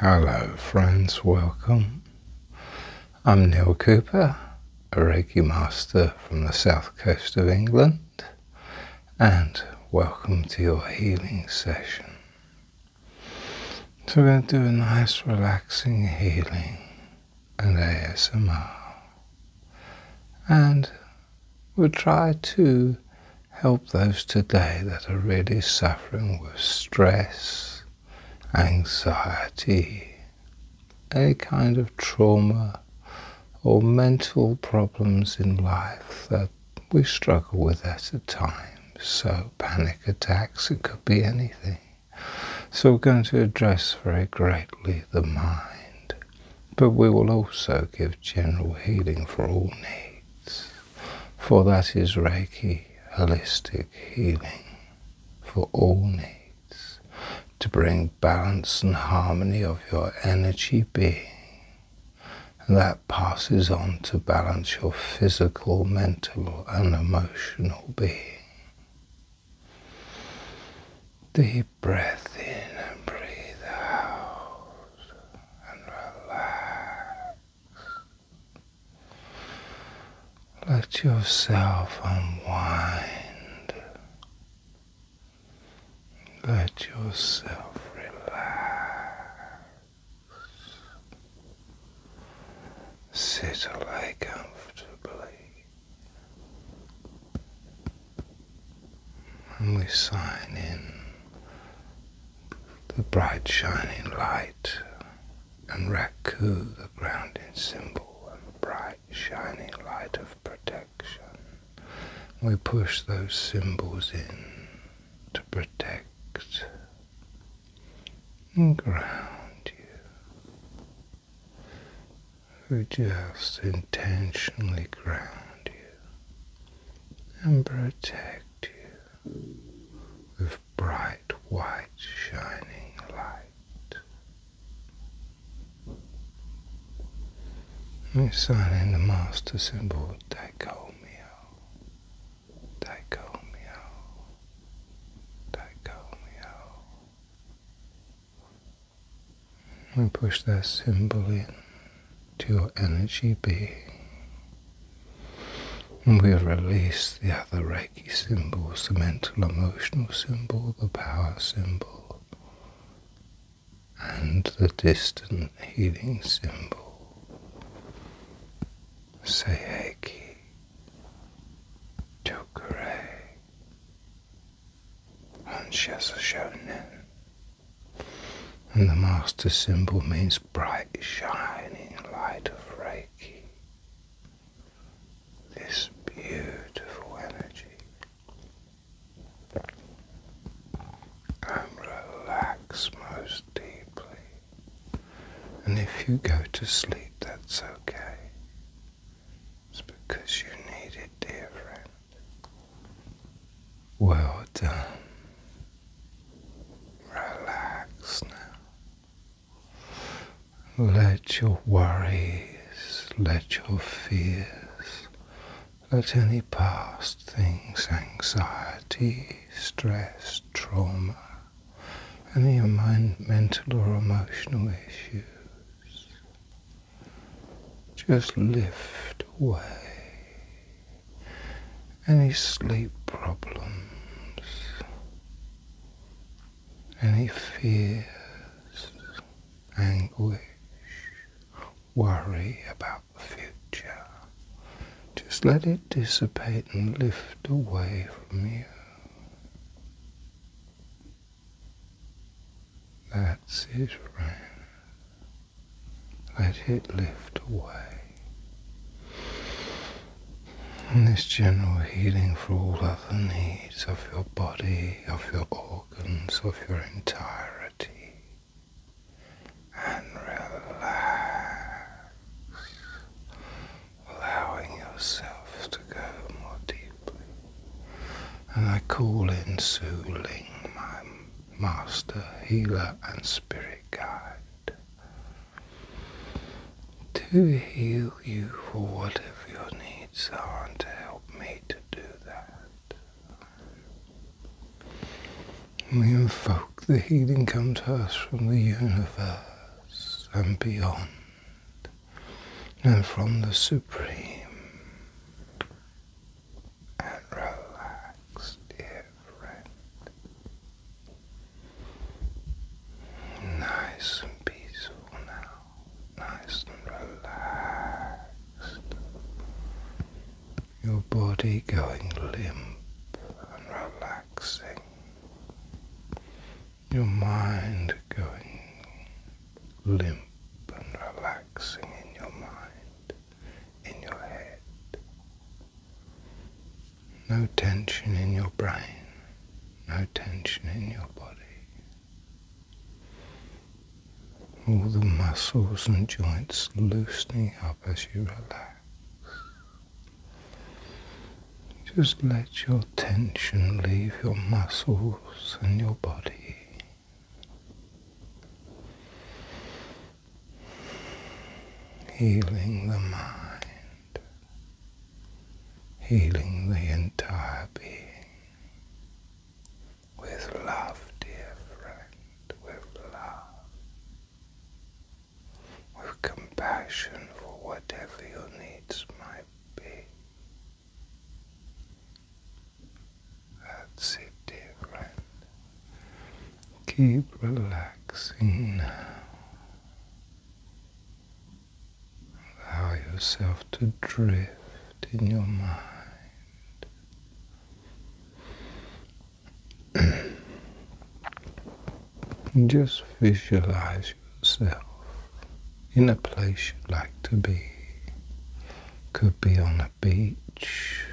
Hello, friends, welcome. I'm Neil Cooper, a Reiki master from the south coast of England, and welcome to your healing session. So, we're going to do a nice, relaxing healing and ASMR, and We'll try to help those today that are really suffering with stress, anxiety, any kind of trauma or mental problems in life that we struggle with at a time. So panic attacks, it could be anything. So we're going to address very greatly the mind but we will also give general healing for all needs, for that is Reiki holistic healing for all needs, to bring balance and harmony of your energy being. And that passes on to balance your physical, mental, and emotional being. The Deep breath in and breathe out and relax. Let yourself unwind. Let yourself relax. Sit away comfortably and we sign in the bright shining light and raku the grounding symbol and the bright shining light of protection. We push those symbols in to protect and ground you who just intentionally ground you and protect you with bright white shining light. Reciting the master symbol Daiko Mio, Daiko Mio, we push that symbol in to your energy being. And we release the other Reiki symbol, the mental emotional symbol, the power symbol, and the distant healing symbol. Say Reiki, Tokure, and she has And the master symbol means bright, shining light of Reiki. This beautiful energy. And relax most deeply. And if you go to sleep, that's okay. It's because you need it, dear friend. Well done. Relax now. Let your worries, let your fears, let any past things, anxiety, stress, trauma, any mind, mental or emotional issues, just lift away any sleep problems, any fears, anguish, worry about the future. Just let it dissipate and lift away from you. That's it, rain. Let it lift away. And this general healing for all other needs of your body, of your organs, of your entirety. And relax, allowing yourself to go more deeply and I call in Su Ling, my master, healer, and spirit guide, to heal you for whatever your needs are and to help me to do that. We invoke the healing comes to us from the universe and beyond and from the supreme and relaxed dear friend. Nice and peaceful now, nice and relaxed. Your body going limp and relaxing your mind going limp and relaxing in your mind, in your head. No tension in your brain, no tension in your body. All the muscles and joints loosening up as you relax. Just let your tension leave your muscles and your body. Healing the mind, healing the entire being. With love, dear friend, with love, with compassion for whatever your needs might be. That's it, dear friend. Keep relaxing Allow yourself to drift in your mind. just visualize yourself in a place you'd like to be. Could be on a beach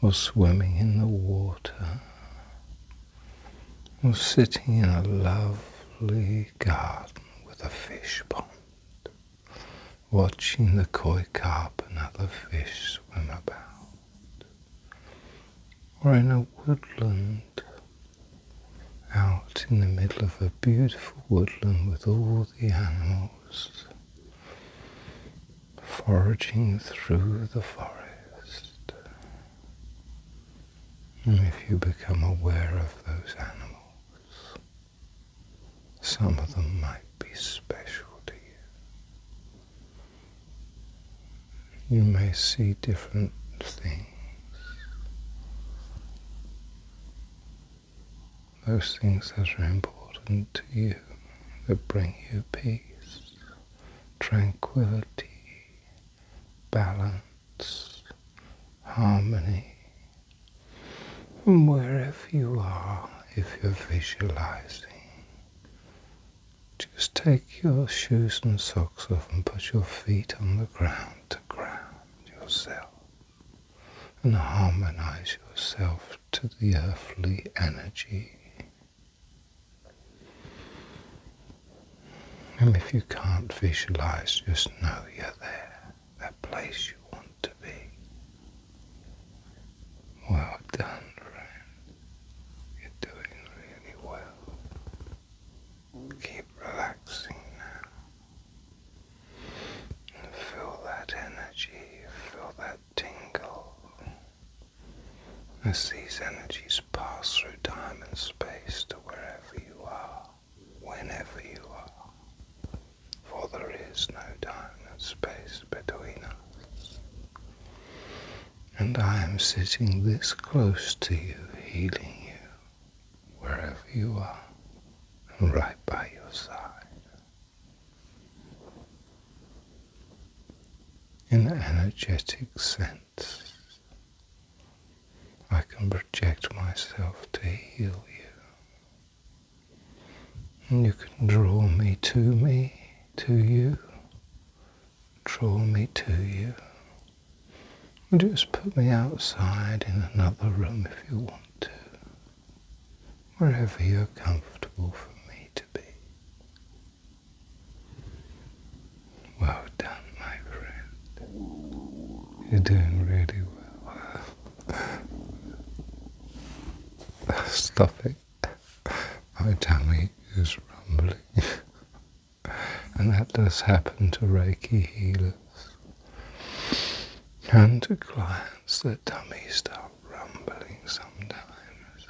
or swimming in the water or sitting in a lovely garden with a fish pond, watching the koi carp and other fish swim about or in a woodland out in the middle of a beautiful woodland with all the animals foraging through the forest. if you become aware of those animals, some of them might be special to you you may see different things. Those things that are important to you, that bring you peace, tranquility, balance, harmony. wherever you are, if you're visualizing, just take your shoes and socks off and put your feet on the ground to ground yourself and harmonize yourself to the earthly energy. And if you can't visualize, just know you're there, that place you want to be. Well done, friend. You're doing really well. Keep relaxing now. feel that energy, feel that tingle. As these energies pass through diamond space to wherever you are, whenever you are. For there is no diamond space between us and I am sitting this close to you, healing you, wherever you are, right by your side. In an energetic sense, I can project myself to heal you. And you can draw me to me, to you, draw me to you. just put me outside in another room if you want to, wherever you're comfortable for me to be. Well done, my friend. You're doing really well. Stop it. My tummy is rumbling. and that does happen to Reiki healers and to clients. Their tummies start rumbling sometimes.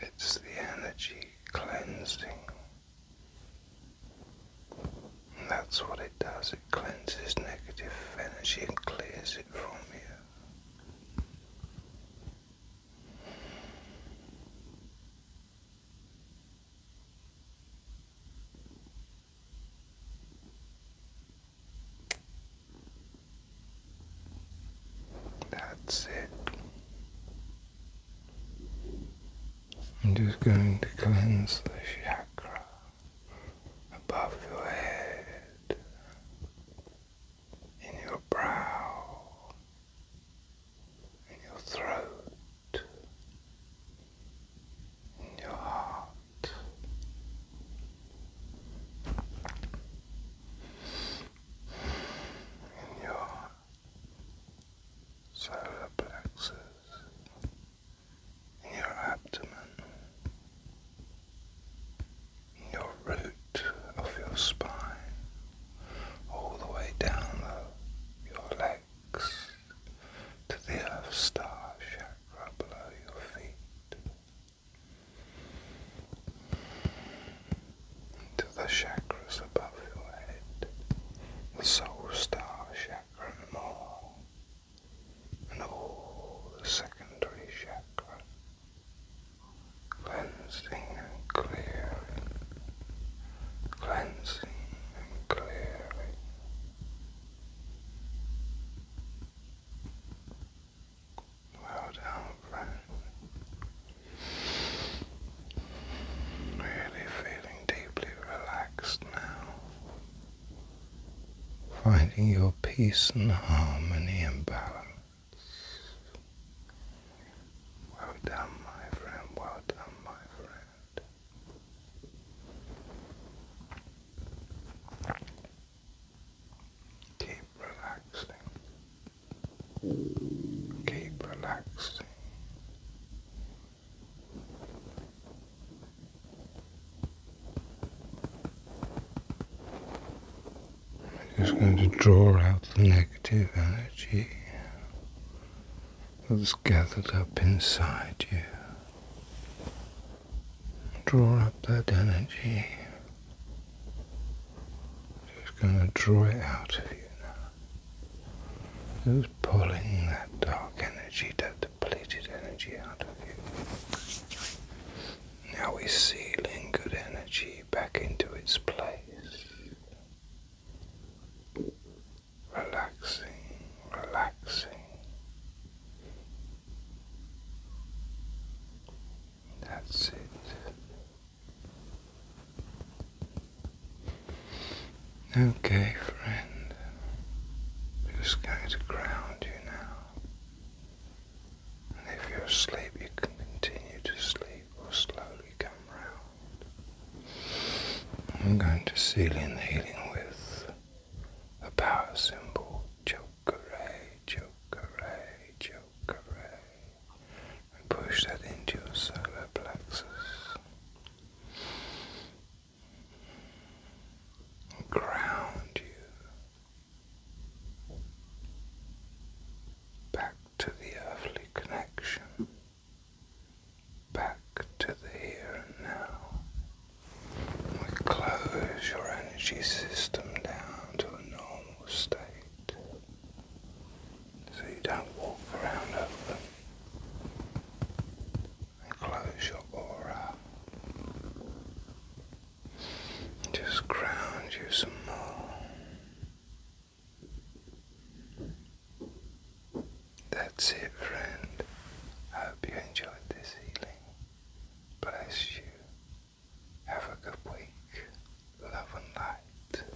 It's the energy cleansing. that's what it does. It cleanses negative energy and clears it from you. That's it. I'm just going to cleanse the chakra above your head in your brow, in your throat, in your heart. In your solar plexus, in your abdomen, your root of your spine, all the way down the, your legs to the earth star chakra below your feet, to the chakras above your head, the soul star chakra and more and all the secondary chakra, cleansing and clearing, cleansing and clearing. Well done, friend. Really feeling deeply relaxed now finding your peace and harmony and balance. Well done, my friend. Well done, my friend. Keep relaxing. Keep relaxing. I'm just going to draw out the negative energy that's gathered up inside you. Draw up that energy. Just going to draw it out of you now. Just pulling that dark energy, that depleted energy out of you. Now we are sealing good energy back into its place. Relaxing, relaxing. That's it. Okay, friend. Just going to ground you now. And if you're asleep, you can continue to sleep or slowly come round. I'm going to seal in the healing with a power symbol Chokare, Chokare, Chokare. And push that into your solar plexus ground you back to the earthly connection, back to the here and now. We close your energy system down to a normal state so you don't walk around over them and close your aura. Just ground you some more. That's it, friend. I hope you enjoyed this healing. Bless you. Have a good week. Love and light.